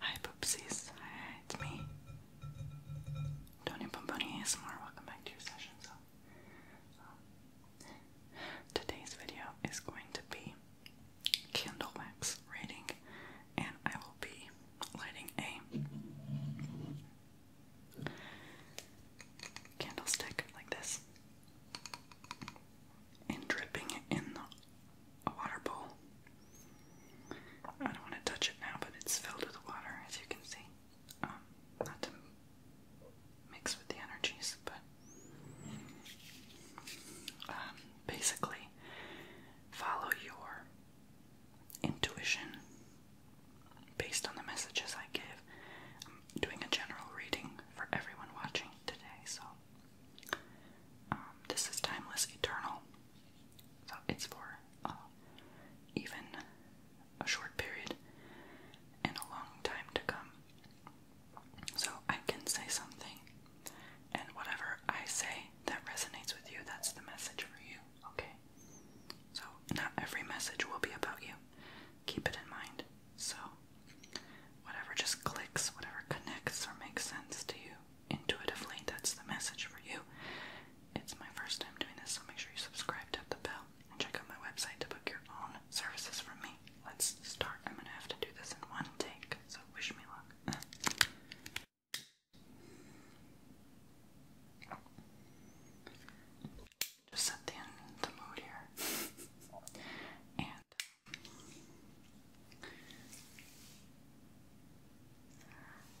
Hi poopsies, it's me. Tony Pomponi ASMR, welcome back to your session. So, um, today's video is going to be candle wax rating, and I will be lighting a candlestick like this and dripping in the water bowl. I don't want to touch it now, but it's filled with water, as you can see. Um, not to mix with the energies, but um, basically, follow your intuition based on the messages I give. I'm doing a general reading for everyone watching today, so um, this is timeless, eternal. So it's for uh, even a short period and a long time to come. So I can say something, and whatever I say that resonates with you, that's the message for you, okay? So not every message will be about you. Keep it in mind. So, whatever just clicks, whatever connects or makes sense to you intuitively, that's the message for you. It's my first time doing this, so make sure you subscribe, to the bell, and check out my website to book your own services from me. Let's start. I'm gonna have to do this in one take, so wish me luck. Just set the mood here. and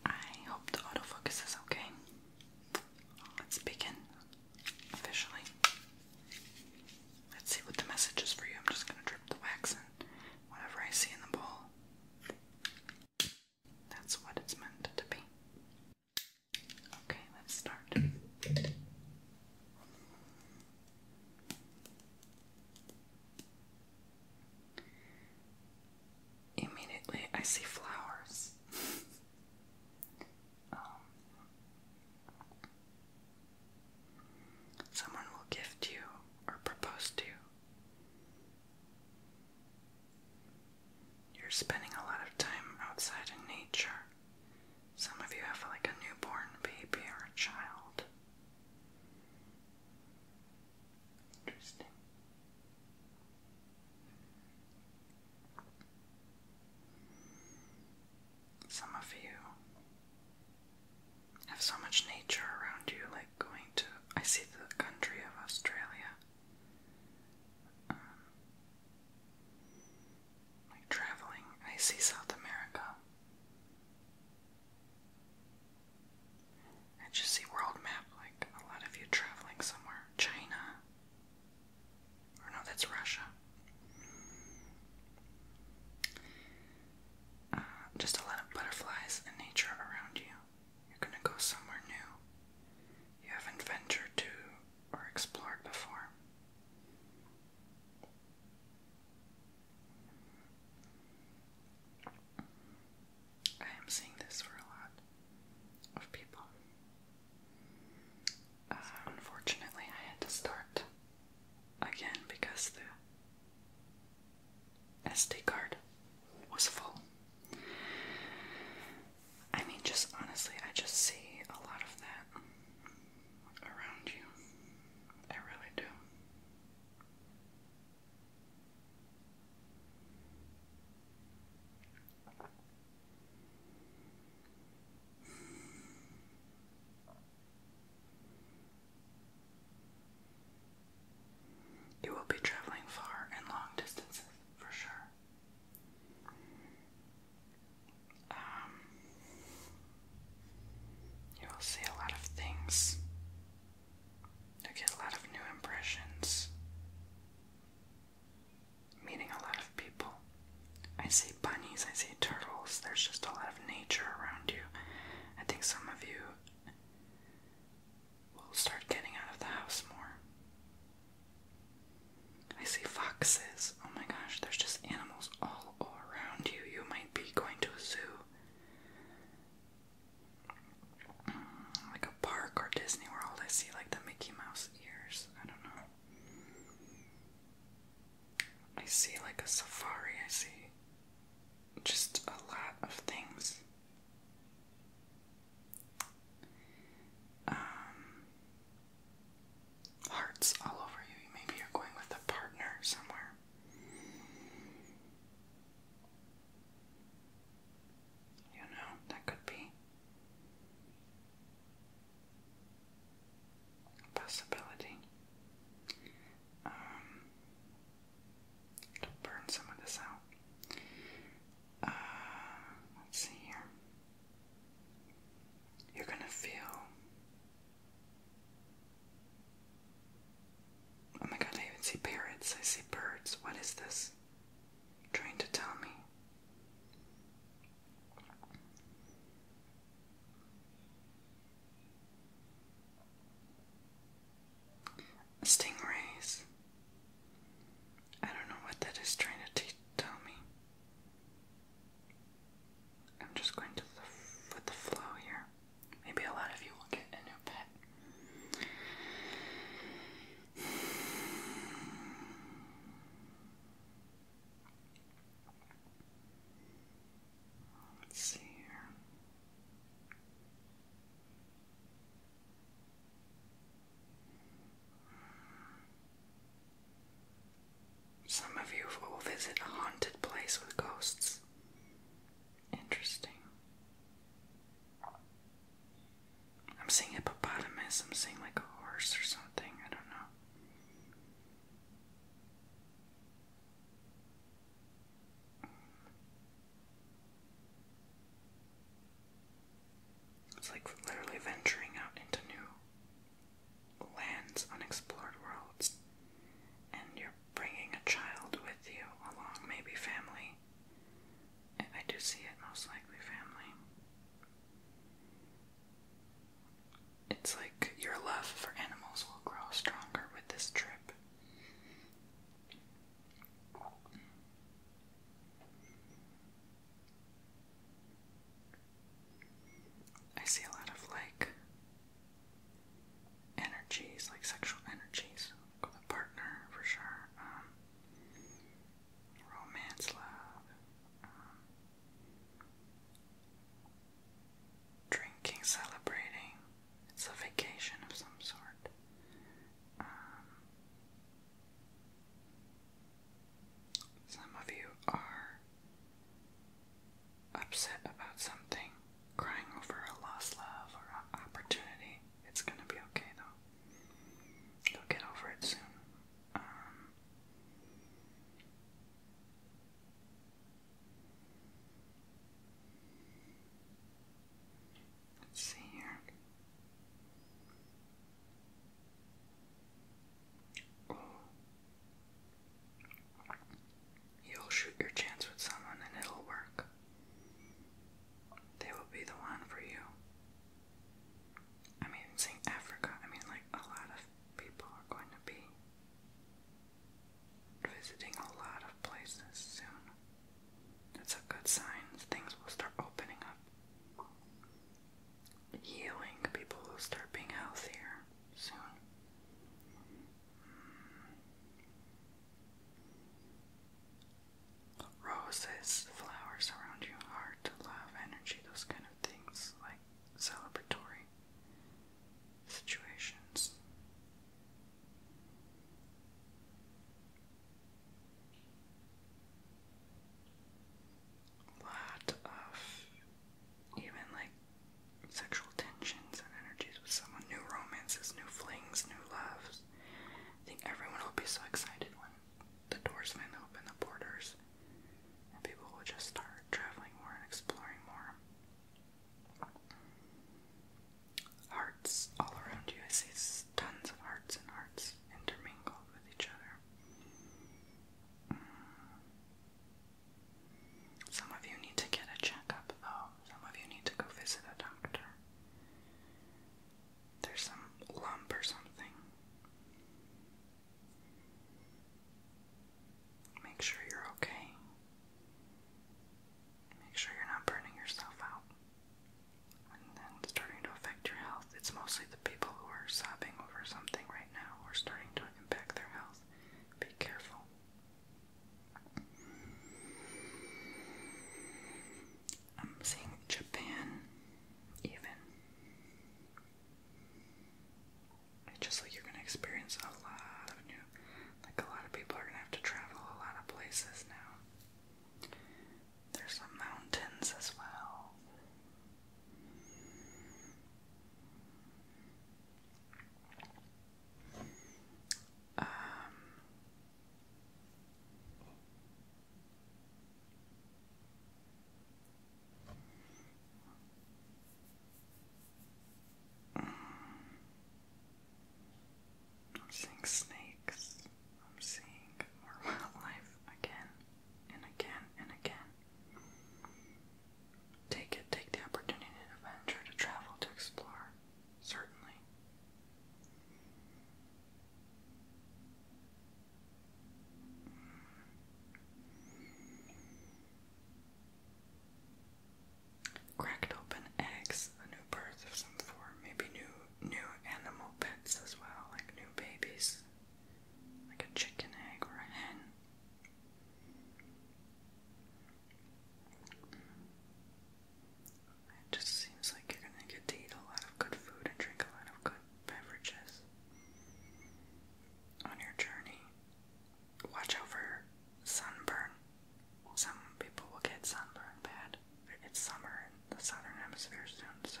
I hope the autofocus is okay. Let's begin officially. Let's see what the message is for you. I'm just gonna drip the wax in whatever I see in the bowl. That's what it's meant to be. Okay, let's start. Immediately, I see flowers. Um, someone will gift you or propose to you. You're spending a lot of time outside in nature. Some of you have like a newborn baby or a child. Interesting. Some of you have so much nature around you, like going to. I see the country of Australia. Um, like traveling, I see South America. I just see world map, like a lot of you traveling somewhere. China. Or no, that's Russia. Uh, just a lot of butterflies and nature around you. You're gonna go somewhere new. You haven't to or explored before. I am seeing this for a lot of people. Uh, unfortunately, I had to start again because the SD card was full. I mean, just honestly, I just see a lot of that around you. I really do. You will be traveling far and long distances for sure. Um, you will see a lot of things. you get a lot of new impressions. Meeting a lot of people. I see bunnies, I see turtles, there's just a lot of nature around you. I think some of you will start getting out of the house more. I see foxes. Oh my gosh, there's just animals all around you. You might be going to a zoo, mm, like a park or Disney World. I see like the Mickey Mouse ears. I don't know. I see like a safari. I see just a lot of things. Um, hearts all over you. Maybe you're going with a partner somewhere. You know, that could be a possibility. Um, to burn some of this out. Uh, let's see here. You're gonna feel Oh my god, I even see parrots. I see birds. What is this? trying to tell me. Stingrays. I don't know what that is trying to tell me. I'm just going to the, the flow here. Maybe a lot of you will get a new pet. Let's see here. Some of you will visit a haunted place with ghosts. Interesting. I'm seeing hippopotamus, I'm seeing like a horse or something, I don't know. It's like literally venturing out into new lands, unexplored worlds, and you're bringing a child with you along, maybe family. I, I do see it most likely family. It's like your love for animals will grow stronger with this trip. I see a lot of like energies, like sexual energies with a partner for sure. Um, romance, love, um, drinking, celebrating. It's a vacation of some sort. Um, some of you are upset about something, crying over a lost love or an opportunity. It's gonna be okay though. You'll get over it soon. Um, let's see here. You'll shoot your chance with someone and it'll work. They will be the one for you. I mean, saying Africa, I mean, like, a lot of people are going to be visiting a lot of places soon. That's a good sign. Things will start opening up healing. People will start being healthier soon. Roses, flowers around you, heart, love, energy, those kind of things, like celebratory situations lot of even like sexual tensions and energies with someone, new romances, new flings, new loves. I think everyone will be so excited when the doors finally open, the borders, people will just start traveling more and exploring more. Hearts all around you. I see tons of hearts and hearts intermingled with each other. Mm. Some of you need to get a checkup, though. Some of you need to go visit a doctor. There's some lump or something. Make sure you're okay. Make sure you're not burning yourself out. And it's starting to affect your health. It's mostly the people who are sobbing over something right now who are starting to impact their health. Be careful. I'm seeing Japan, even. just like you're gonna experience a lot of new, like a lot of people are gonna have to travel a lot of places now. There's some mountains as well. Um, I'm seeing snakes. I'm seeing wildlife again and again and again. Take it, take the opportunity to adventure, to travel, to explore, certainly. Cracked open eggs, a new birth of some form, maybe new new animal pets as well, like new babies, like a chicken egg or a hen. It just seems like you're gonna get to eat a lot of good food and drink a lot of good beverages on your journey. Watch out for sunburn. Some people will get sunburn bad. It's summer in the southern hemisphere soon, so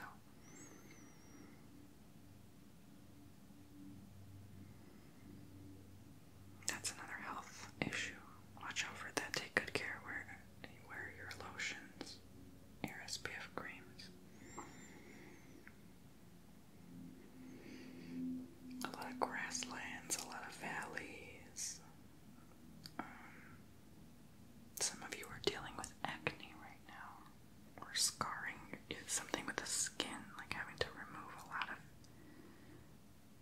that's another health issue. Watch out for that. Take good care where wear your lotions, your SPF creams. A lot of grasslands, a lot of valleys. Um, some of you are dealing with acne right now or scarring something with the skin, like having to remove a lot of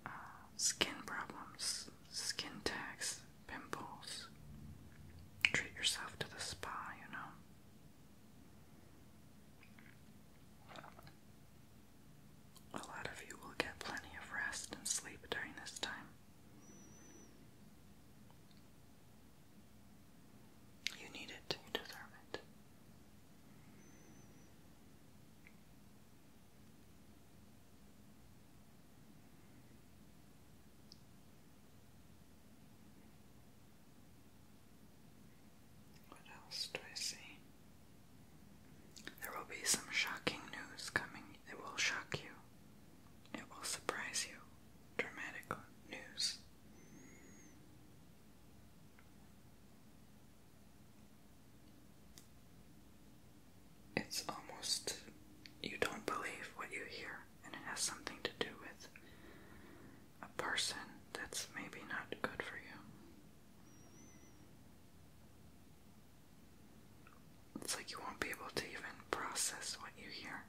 uh, skin problems, skin tags, pimples. Treat yourself to the spa, you know. A lot of you will get plenty of rest and sleep during this time. You need it, you deserve it. What else do I see? There will be some shocking news coming. It will shock you. It will surprise you. Dramatic news. It's almost you don't believe what you hear, and it has something to do with a person that's maybe not good for you. It's like you won't be able to even process what you hear.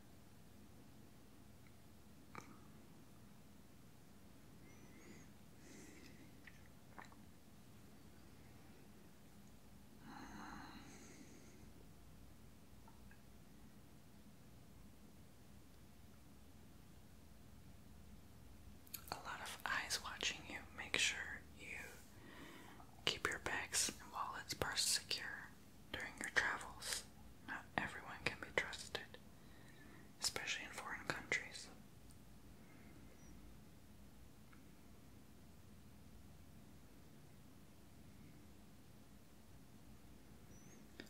A lot of eyes watching you. Make sure you keep your bags and wallets, purse secure during your travels. Not everyone can be trusted, especially in foreign countries.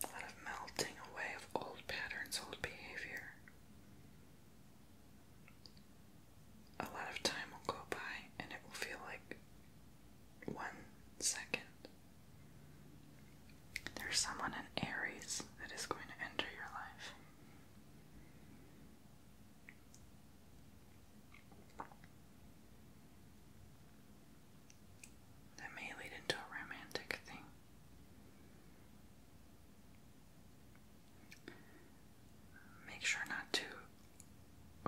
A lot of melting away of old patterns, old behavior. A lot of time will go by and it will feel like one second there's someone in Aries that is going to enter your life. That may lead into a romantic thing. Make sure not to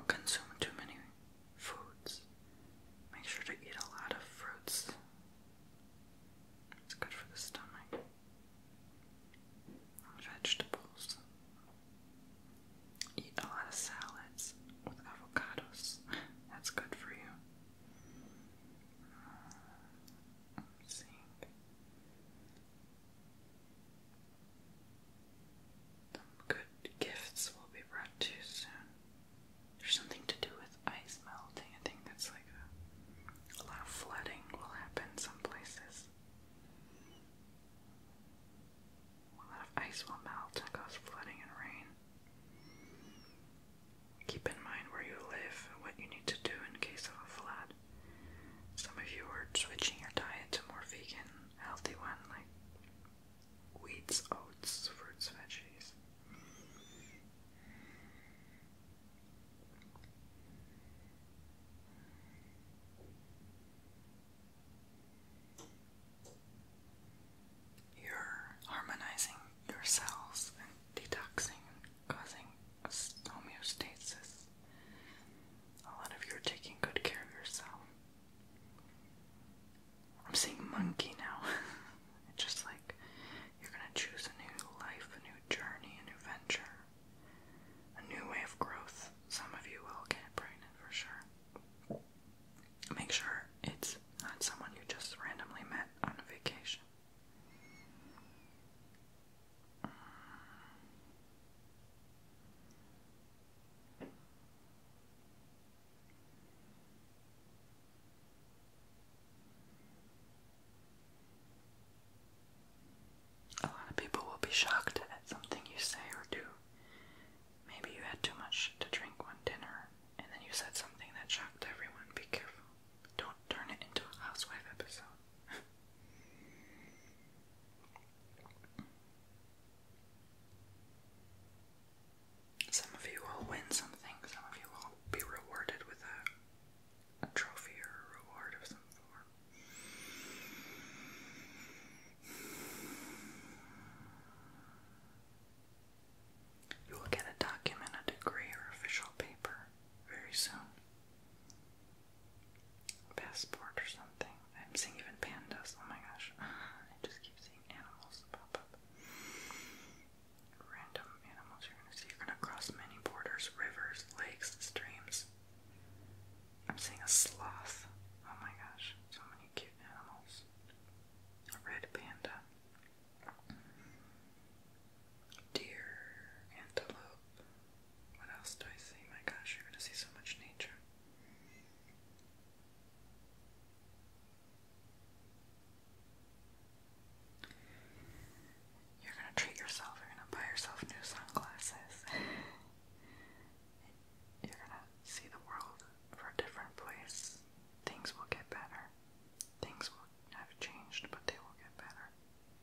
consume too many foods. Make sure to eat a lot of fruits. It's good for the stomach. Vegetables. Eat a lot of salads with avocados. That's good for you. Uh, Some good gifts will be brought to soon. There's something to do with ice melting. I think that's like a, lot of flooding will happen some places. A lot of ice will melt and cause flooding and rain. Keep in mind where you live and what you need to do in case of a flood. Some of you are switching your diet to more vegan, healthy one, like Wheat, oats, fruits, veggies. You're harmonizing your cells detoxing causing homeostasis. A lot of you are taking good care of yourself. I'm seeing monkey now. just like you're gonna choose a new life, a new journey, a new venture, a new way of growth. Some of you will get pregnant for sure. Make sure it's not someone you just randomly met on a vacation. A lot of people will be shocked at something you say or do. Maybe you had too much to drink one dinner, and then you said something that shocked everyone. Be careful. Don't turn it into a housewife episode. Some of you will win something, some of you will be rewarded with a, trophy or a reward of some form. You will get a document, a degree, or official paper very soon. passport or something. I'm seeing even pandas. Oh my gosh. I just keep seeing animals pop up random animals you're gonna see. You're gonna cross many borders, rivers, lakes, streams. I'm seeing a sloth. Oh my gosh, so many cute animals. A red panda. Deer, antelope. What else do I see? My gosh, you're gonna see so much nature. You're gonna treat yourself, you're gonna buy yourself new sunglasses. you're gonna see the world for a different place. Things will get better. Things will have changed, but they will get better.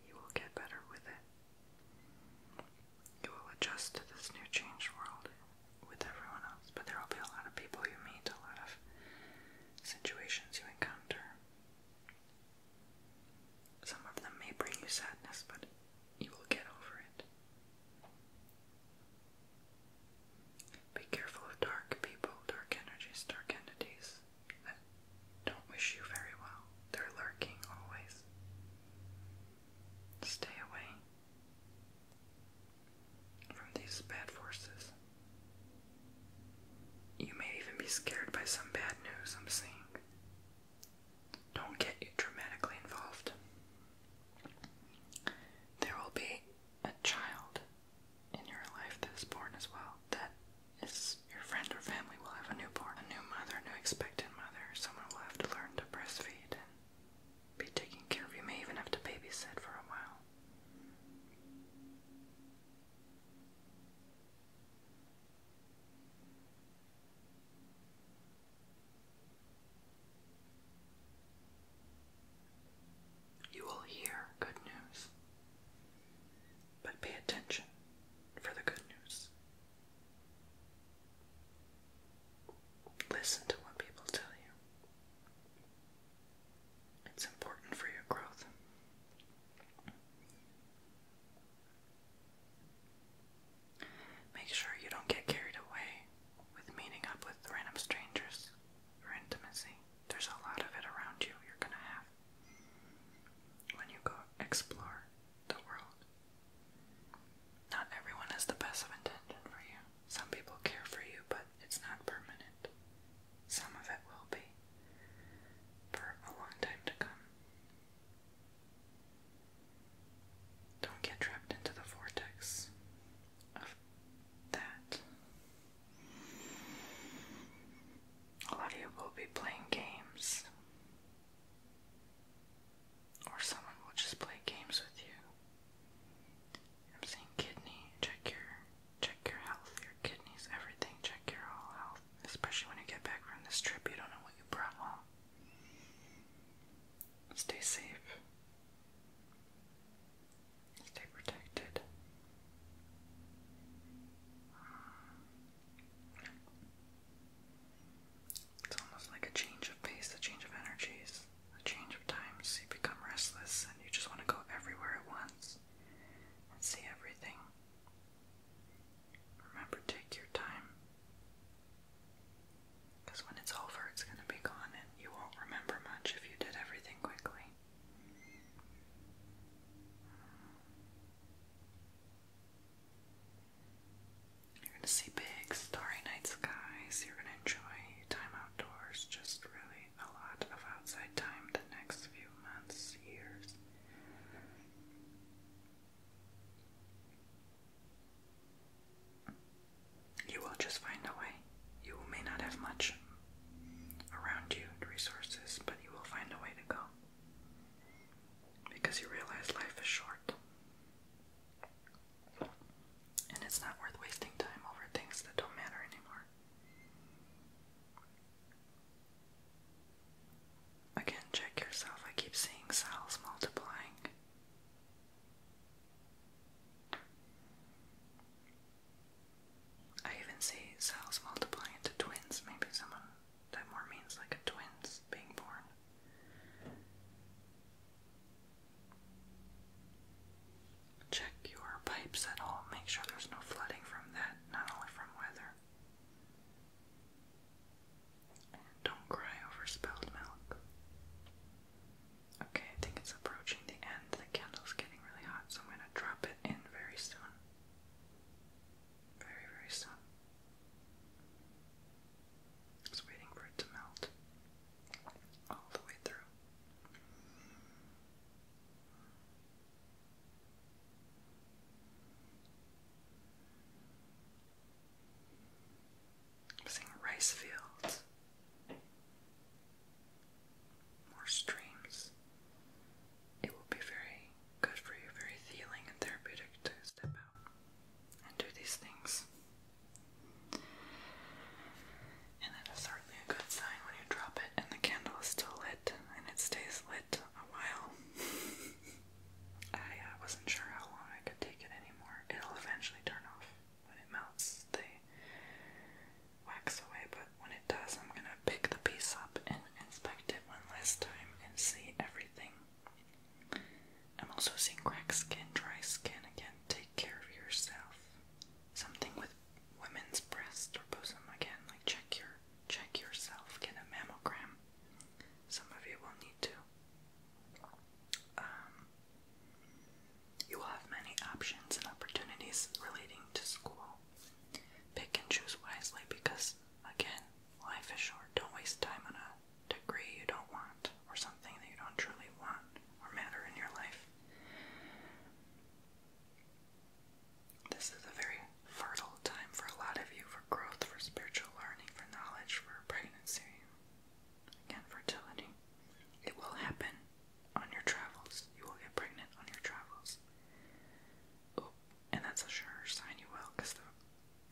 You will get better with it. You will adjust to this new changed world with everyone else, but there will be a lot of people you meet, a lot of situations you encounter. Some of them may bring you sadness, but you will get over it. Be careful of dark people, dark energies, dark entities that don't wish you very well. They're lurking always. Stay away from these bad forces. You may even be scared by some bad news I'm seeing. Don't get dramatically involved. There will be a child in your life that is born as well. That is your friend or family will have a newborn, a new mother, a new expectant mother. Someone will have to learn to breastfeed be taken care of. You may even have to babysit for a while. You will hear good news, but pay attention for the good news. Listen to what people tell you. It's important for your growth. Make sure you don't get carried away with meeting up with random strangers or intimacy. There's a lot of it around you you're going to have when you go explore the world. Not everyone has the best of intention for you. Some people care for you, but it's not permanent. Some of it will be for a long time to come. Don't get trapped into the vortex of that. A lot of you will be playing games, or someone will just play games with you. I'm saying kidney, check your check your health, your kidneys, everything, check your whole health. Especially when you get back from this trip, you don't know what you brought home. Stay safe. Stay protected. It's almost like a change of pace, a change of energies. A change of times, you become restless and you just want to go everywhere at once and see everything. Remember, take your time. Because when it's over, it's going to be gone and you won't remember much if you did everything quickly. You're going to see big starry night skies. You're going to enjoy your time outdoors, just really a lot of outside time the next few months, years. You will just find a way. You may not have much around you and resources, but you will find a way to go. Because you realize life is short. And it's not worth wasting time over things that don't matter anymore. Again, check yourself. I keep seeing cells multiplying. I even see cells multiplying into twins. Maybe someone that more means like twins being born. Check your pipes at all. Make sure there's no flooding from that, not only from weather. don't cry over spilled milk. Okay, I think it's approaching the end. The candle's getting really hot, so I'm going to drop it in very soon. Very, very soon. Just waiting for it to melt. I'm seeing rice fields, more streams. It will be very good for you, very healing and therapeutic to step out and do these things. And that is certainly a good sign when you drop it and the candle is still lit and it stays lit a while. I uh, wasn't sure how long I could take it anymore. It'll eventually turn off when it melts. the wax away, but when it does, I'm gonna pick the piece up and inspect it one last time and see everything. I'm also seeing cracked skin, dry skin. Again, take care of yourself something with women's breast or bosom again, like check your check yourself, get a mammogram. Some of you will need to. Um, you will have many options and opportunities relating to school. Pick and choose wisely because, again, life is short. Don't waste time on a degree you don't want or something that you don't truly want or matter in your life. This is a very fertile time for a lot of you for growth, for spiritual learning, for knowledge, for pregnancy, again, fertility. It will happen on your travels. You will get pregnant on your travels. Oh, and that's a sure sign you will because the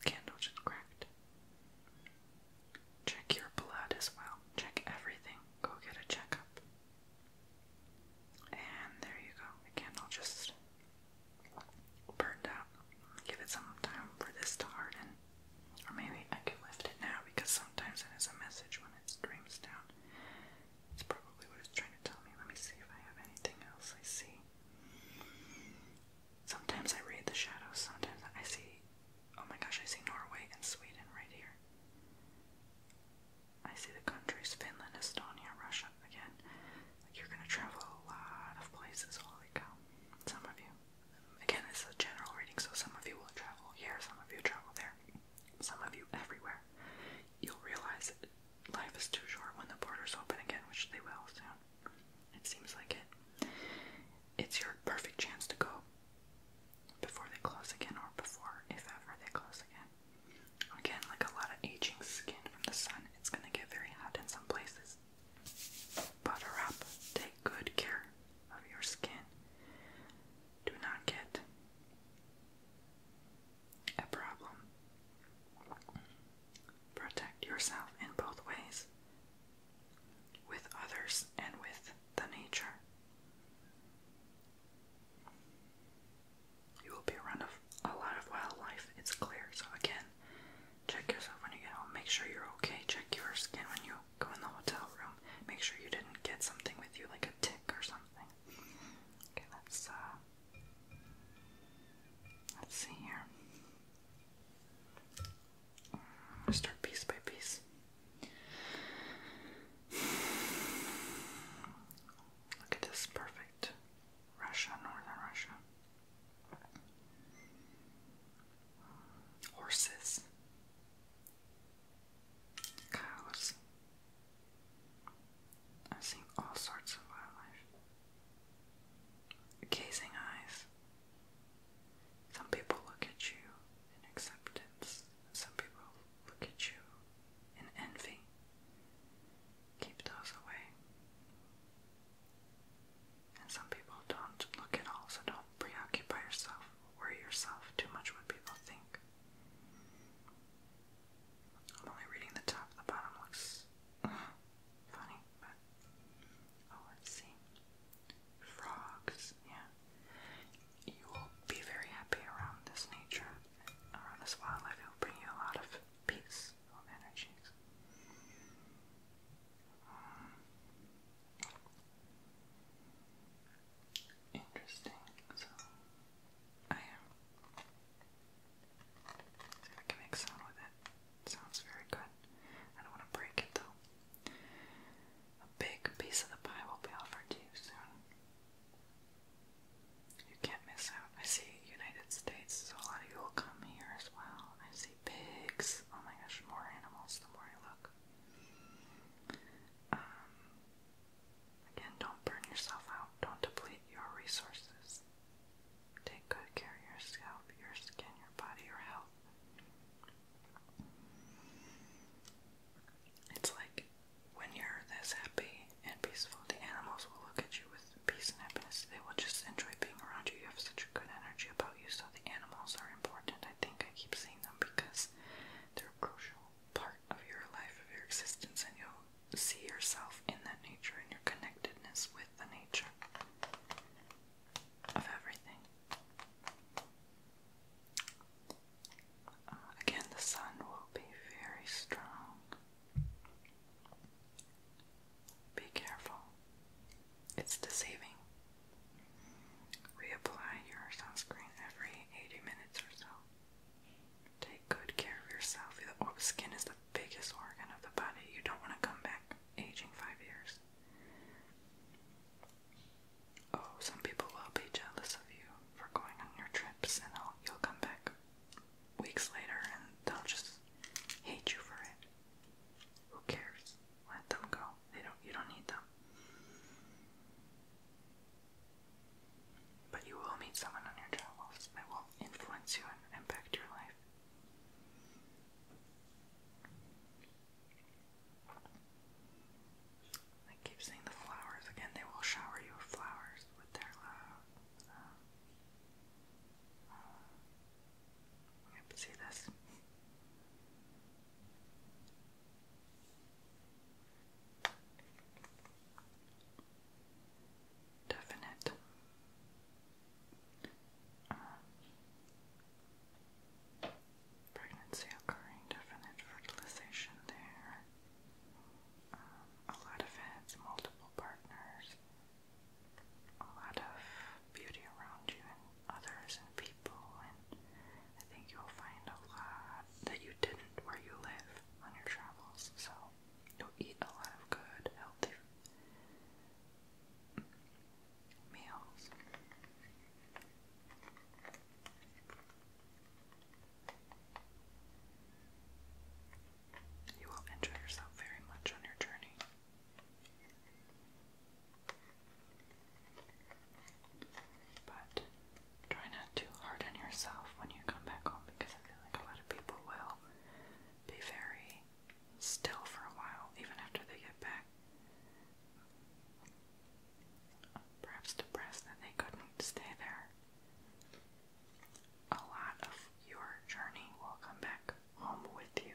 candle just cracked. Check your blood as well. Check everything. Go get a checkup. And there you go. Again, just burn out. Give it some time for this to harden. Or maybe I can lift it now because sometimes it is a message when it streams down. It's probably what it's trying to tell me. Let me see if I have anything else I see. Sometimes I read the shadows, sometimes I see Oh my gosh, I see Norway and Sweden right here. I see the countries Finland, Estonia, Russia again. you're gonna travel a lot of places. Holy cow! Some of you. Again, it's a general reading, so some of you will travel here, some of you travel there, some of you everywhere. You'll realize that life is too short when the borders open again, which they will soon. It seems like it. It's your perfect chance to go before they close again, or before, if ever, they close again. Again, like a lot of aging skin from the sun, it's gonna get very hot in some places. Butter up. Take good care of your skin. Do not get a problem. Protect yourself in both ways with others and with the nature. You will be around a lot of wildlife, it's clear. So, again, check yourself when you get home. Make sure you're okay. Check your skin when you go in the hotel room. Make sure you didn't get something with you, like a tick or something. Okay, let's, uh, let's see here start piece by piece. Look at this perfect Russia, northern Russia. Horses, cows. I'm all sorts of wildlife. Gazing eyes. Some people look at you in acceptance, some people look at you in envy. Keep those away. And some people don't look at all, so don't preoccupy yourself, worry yourself too much what people think. I'm only reading the top, the bottom looks uh, funny, oh, let's see frogs, yeah. You will be very happy around this nature, around this wildlife. It will bring you a lot of peace or energies. Hmm. interesting. So, I am. I can make sound with it. Sounds very good. I don't want to break it though. A big piece of the pie will be offered to you soon. You can't miss out. I see United States, a lot of you will come here as well. I see pigs. Oh my gosh, more animals the more I look. Um, again, don't burn yourself out. Don't deplete your resources. Take good care of your scalp, your skin, your body, your health. It's like when you're this happy and peaceful, the animals will look at you with peace and happiness. They will just enjoy being around you. You have such a good energy about you, so the animals are important. I think I keep seeing them because they're crucial part of your life, of your existence, and you'll see yourself in that nature and your connectedness with the nature of everything. Uh, again, the sun will be very strong. Be careful, it's deceiving. Reapply your sunscreen every 80 minutes or so. Take good care of yourself. The skin is the biggest organ of the body. You don't want to come back aging five years. Oh, some people will be jealous of you for going on your trips, and you'll come back weeks later and they'll just hate you for it. Who cares? Let them go. They don't. You don't need them. But you will meet someone on your travels that will influence you and impact your life. I keep seeing the flowers again. They will shower you with flowers with their love. Uh, uh, see this. Definite. Uh, Pregnancy occurring, definite fertilization there. Um, a lot of heads, multiple partners, a lot of beauty around you and others and people, and I think you'll find a lot that you didn't where you live on your travels. So you'll eat a lot of good, healthy meals. You will enjoy yourself very much on your journey. But try not to harden yourself when you come back home because I feel like a lot of people will be very still for a while, even after they get back perhaps depressed that they couldn't stay there. A lot of your journey will come back home with you.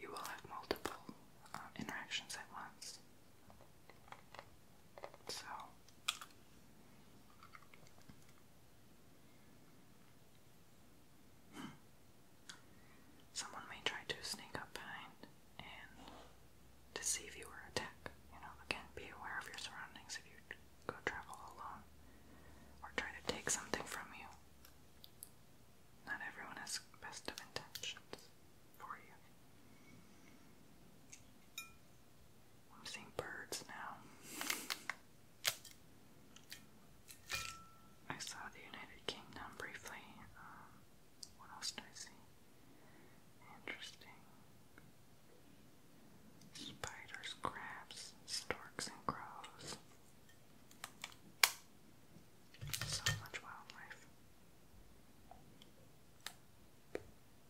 You will have multiple uh, interactions at once. So someone may try to sneak up behind and deceive you or attack. You know, again, be aware of your surroundings if you go travel alone or try to take something from you. Not everyone has best of intentions for you. I'm seeing birds now. I saw the United Kingdom briefly. Um, what else did I see? Interesting. Spiders, crabs, storks, and crows. So much wildlife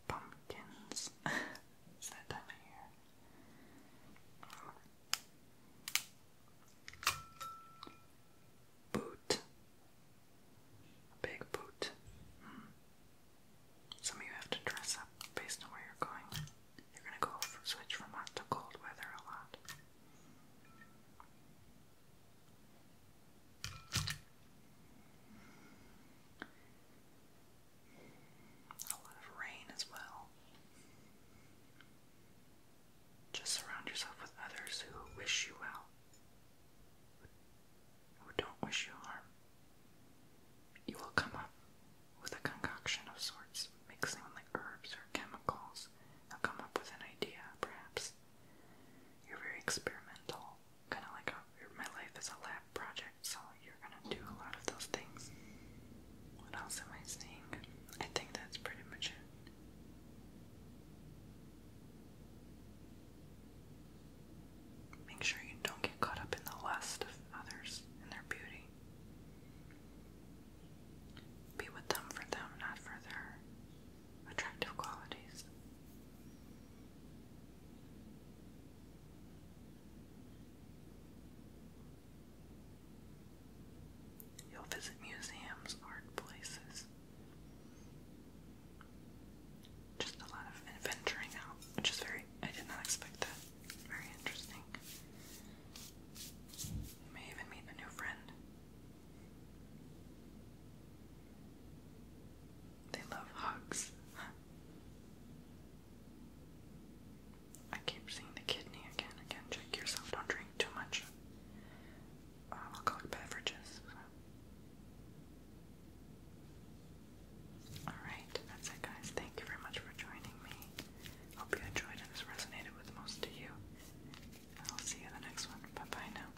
pumpkins. it's that time of Boot. big boot. Hmm. Some of you have to dress up based on where you're going. You're gonna go switch from hot to cold weather a lot. A lot of rain as well. Just surround yourself with others who wish you well, who don't wish you harm. You will come up with a concoction of sorts, mixing like herbs or chemicals. you come up with an idea, perhaps. You're very experimental kind of like oh, my life is a lab project, so you're gonna do a lot of those things. What else am I saying? I think that's pretty much it. Make sure you don't get caught up in the lust of others and their beauty. Be with them for them, not for their attractive qualities. You'll visit museums, art places. Just a lot of adventuring out, which is very, I did not expect that. Very interesting. may even meet a new friend. They love hugs. I keep seeing the kidney again, again. Check yourself. Don't drink too much uh, beverages. Alright, that's it, guys. Thank you very much for joining me. Hope you enjoyed and this resonated with most of you. I'll see you in the next one. Bye bye now.